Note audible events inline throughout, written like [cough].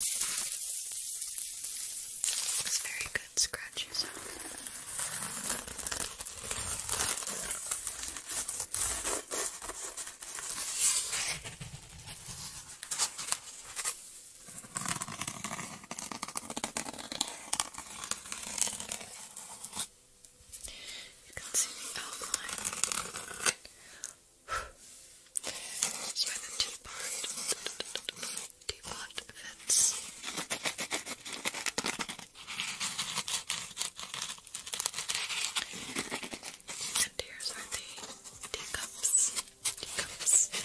It's very good scratchy You can see the outline I where the teapot, teapot fits. And here's where the teacups, teacups, teacups.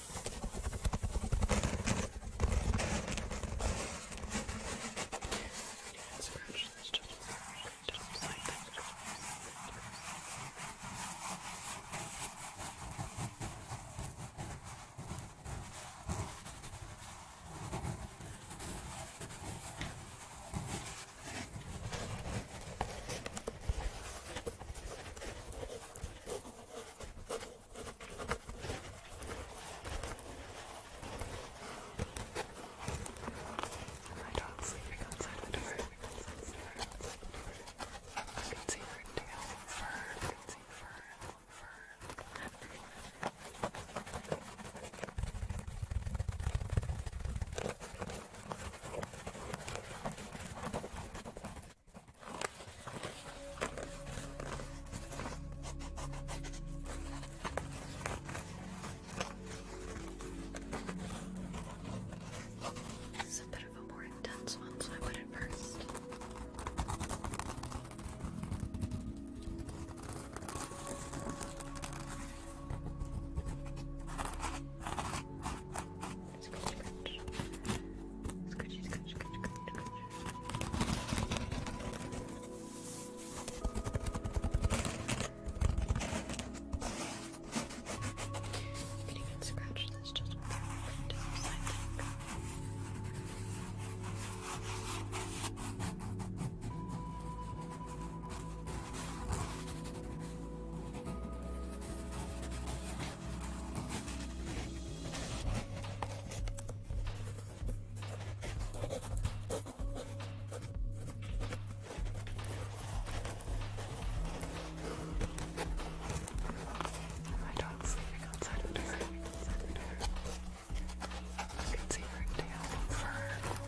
I scratched this just just like that. Okay. My dog's sleeping outside the door. I can see her tail fur. I can see fur. Fur. This is a bit of a more intense one, so I put it first. Scratch, scratch. Scratchy, scratch, scratch, scratch, scratch. We can even scratch this just with our fingertips, I think. My dog's sleeping outside of the door. Outside of the door. I can see her tail and fur.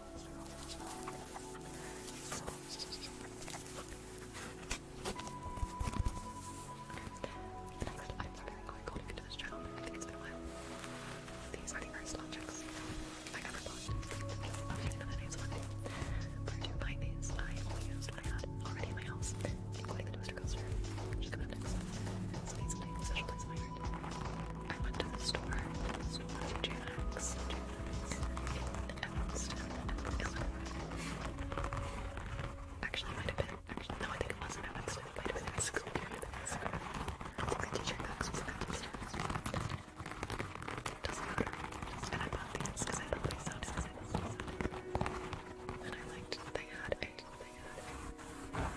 Next, I'm sorry I got called into this channel. it's been a while. These are the first objects I ever bought. I do the names of them. But to find these, I only used what I already in my house, including the toaster coaster, which is coming up next. special place I I went to the store, the store, Actually, it might have been. Actually, no, I think it wasn't at might have been school. I teacher box was at Winston. Doesn't matter. And I bought these because I thought they sounded exciting. And I liked that they had a. They had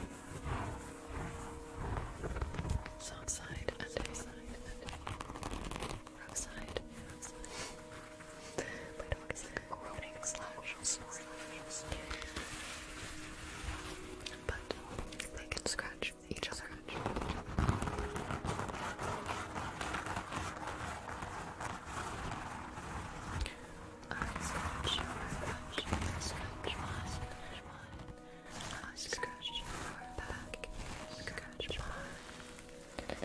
Soft side roadside, roadside, roadside. My dog is like groaning slash snoring. But they can scratch each other. I scratch, I scratch, I scratch mine, I scratch mine. I scratch your back, scratch mine.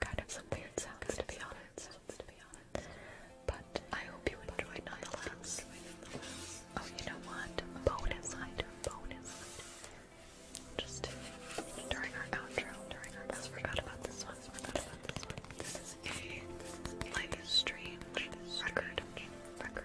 Kind of some weird sounds to be honest. But I hope you enjoyed nonetheless. Oh, you know what? Bonus Bonus. Just during our outro. During our outro. Forgot about this one. Forgot about this This is a like record. Record.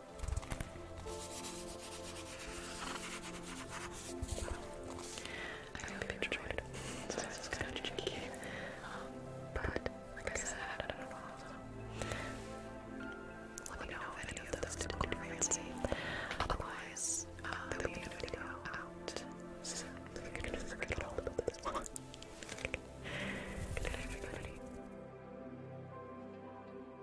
I hope you enjoyed So this is kind of cheeky. Um, but, like I said, I don't know. let me know if any of those didn't fancy. Otherwise, uh, video out soon. [laughs]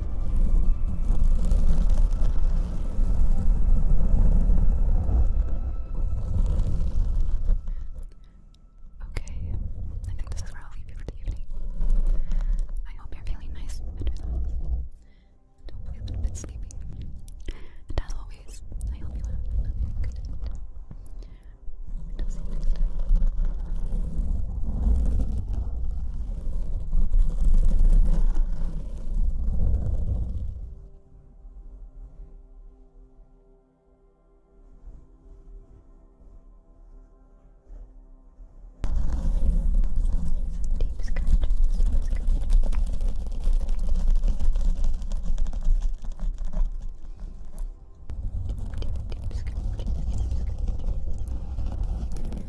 Okay, I think this is where I'll leave you for the evening. I hope you're feeling nice and relaxed. a bit sleepy. And as always, I hope you Deep scratch, deep scratch. Deep, deep, deep scratch, deep scratch.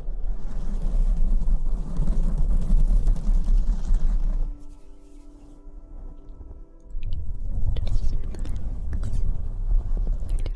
You're okay. You're okay. You're okay.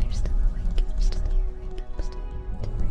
You're still awake, you're still here, I'm still here to breathe.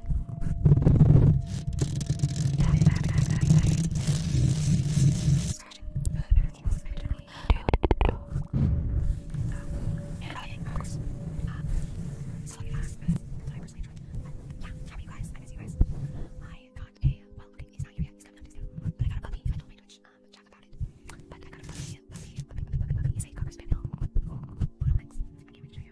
dying. Dying, dying, dying, dying, dying. Starting really Dude. Um, dying. Um, so last but I personally tried. Yeah, how are you guys? I miss you guys. I got a well okay, he's not here yet, he's coming up to soon. But I got a puppy. I told my Twitch um chat about it. But I got a puppy, puppy, puppy, puppy, puppy, puppy, puppy. He's a cocker spaniel. Little mix. I can't even show you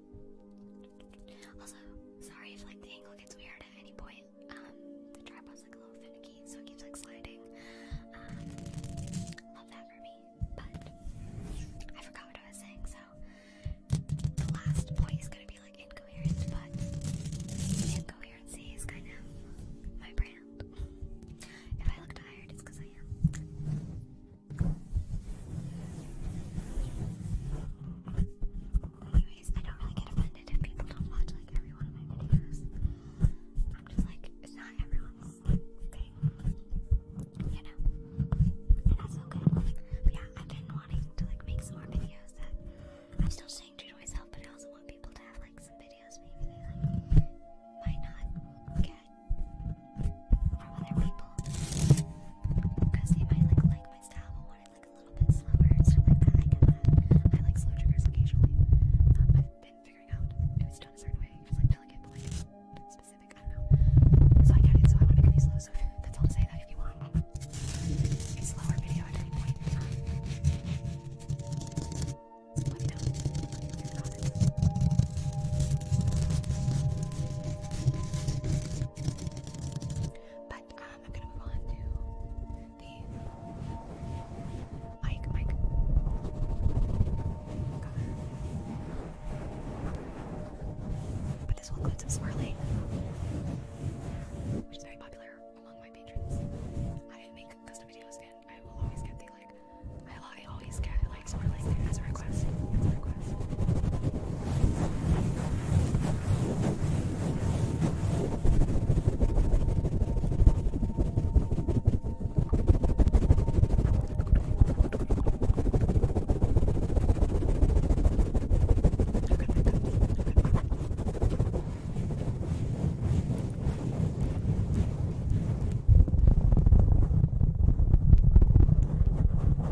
also, sorry if like the angle gets weird at any point. Um, the tripod's like a little finicky, so it keeps like sliding. Um, love that for me. But I forgot what I was saying, so the last point is gonna be like incoherent, but incoherency is kind of my brand. if I look tired, it's because I am. Anyways, I don't really get offended if people don't watch like every one of my videos. I'm just like, it's not everyone's thing. You know? And that's okay. But yeah, I've been wanting to like make some more videos that I'm still staying to myself, but I also want people to have like some videos maybe they like might not get other people because they might like like my style but want it like a little bit slower and stuff like that. I get that. I like slow triggers occasionally. Um, I've been figuring out if it's done a certain way, just like delicate but like specific. I don't know. So I get it. So I want it to be slow. So that's all to say that if you want a slower video at any point, um, let me know. Let me know in the comments. But uh, I'm gonna move on to the Mike But this will include some swirling, which is very popular among my patrons. I make custom videos and I will always get the like I, I always get likes or like as a request. As a request. Okay,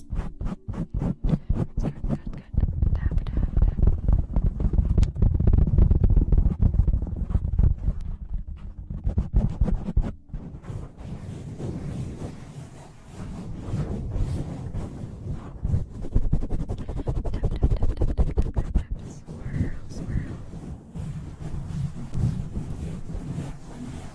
Good, good, good. Tap, tap, tap. Tap, tap, tap, tap, tap, tap, tap, tap. Swirl, swirl. Good,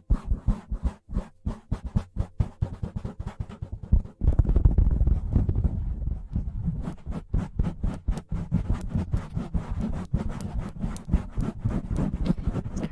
Good, good, good. Tap, tap, tap, tap.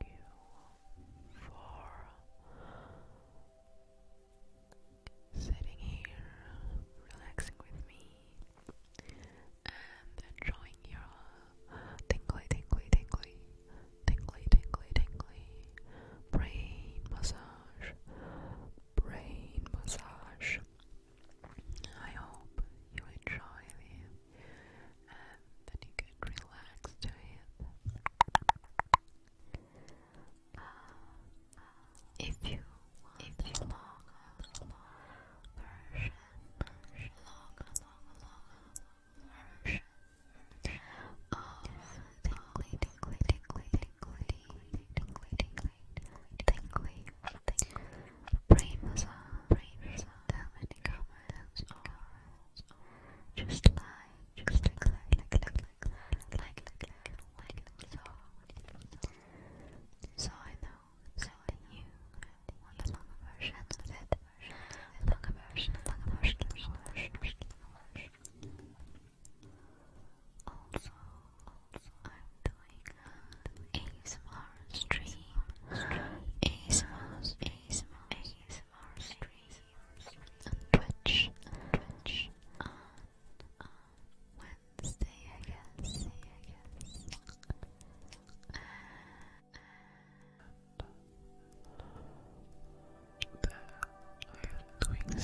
you for sitting here, relaxing with me, and enjoying your tingly, tingly, tingly, tingly, tingly, tingly brain massage, brain massage. I hope you enjoy the and then you can relax if you if you brain massage, brain massage, tell just like, just like, like, like, like, like, like, like, like, like, so. So I know, so I knew. Want the longer version of it? Longer version, longer version, longer version, longer version. Also, also, I'm doing ASMR stream, ASMR, ASMR, ASMR stream on Twitch, Twitch, on, Wednesday, I guess, I am doing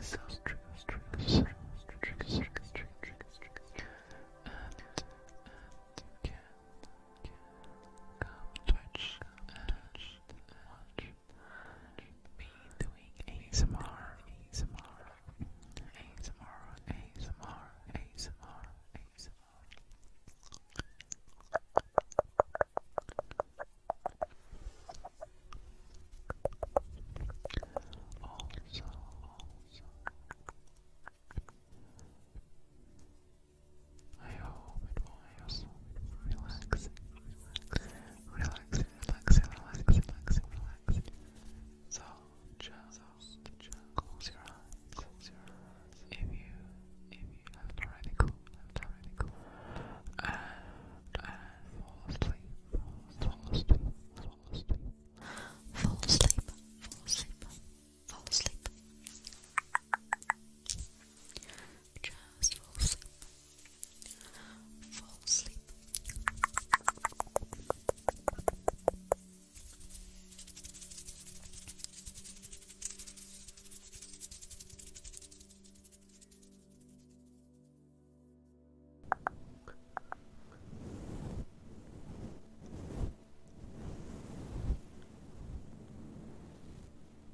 some, doing and you can come Twitch watch me doing ASMR, ASMR, ASMR, ASMR, ASMR, ASMR. Also, also, I hope it was relaxing, relaxing, So just, close your eyes, If you, if you haven't already cooled, haven't already cooled, and, Fall asleep. Fall asleep. Fall asleep. Fall asleep fall asleep. Just fall asleep. Fall asleep.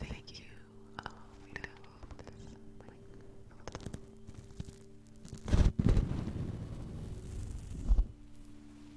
Thank you. Oh, we don't this.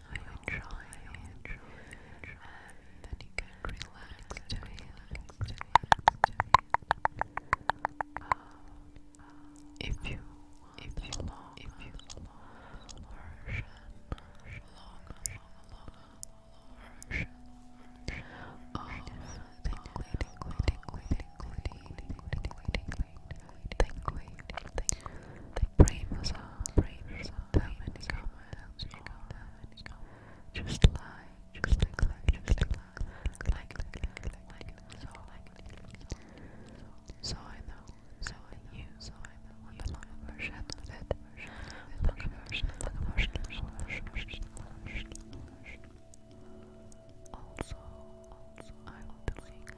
I enjoy, I enjoy, enjoy. and then you can relax, relax, relax, relax. Uh, if you, if you, long, if you, long version, long, long, long version of tingly, tingly, tingly, tingly, tingly, tingly, tingly, brain massage, brain massage, just lie, just like, like, just like, like, like, like, so, like, so I know, so I knew, so I know, and the long version of it, long version, long version, long version, long version, also, also, I want to sing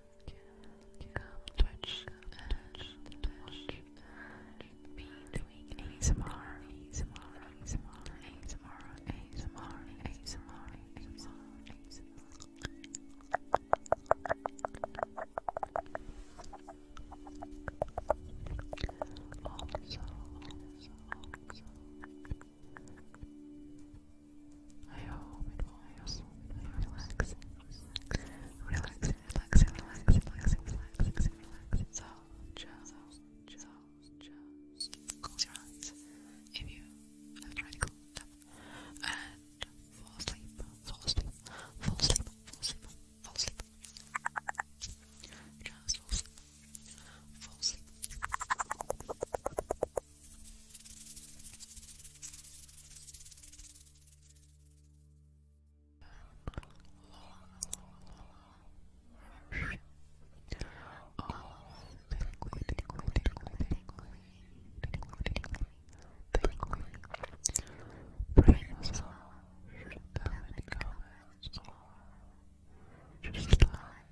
Come Twitch and watch me doing I hope it was relaxing, relaxing, relaxing, relaxing, relaxing, relaxing, relaxing. So just, just, just close your eyes if you have tried to close them and fall asleep, fall asleep, fall asleep, fall asleep, fall asleep. fall asleep, fall asleep. Just like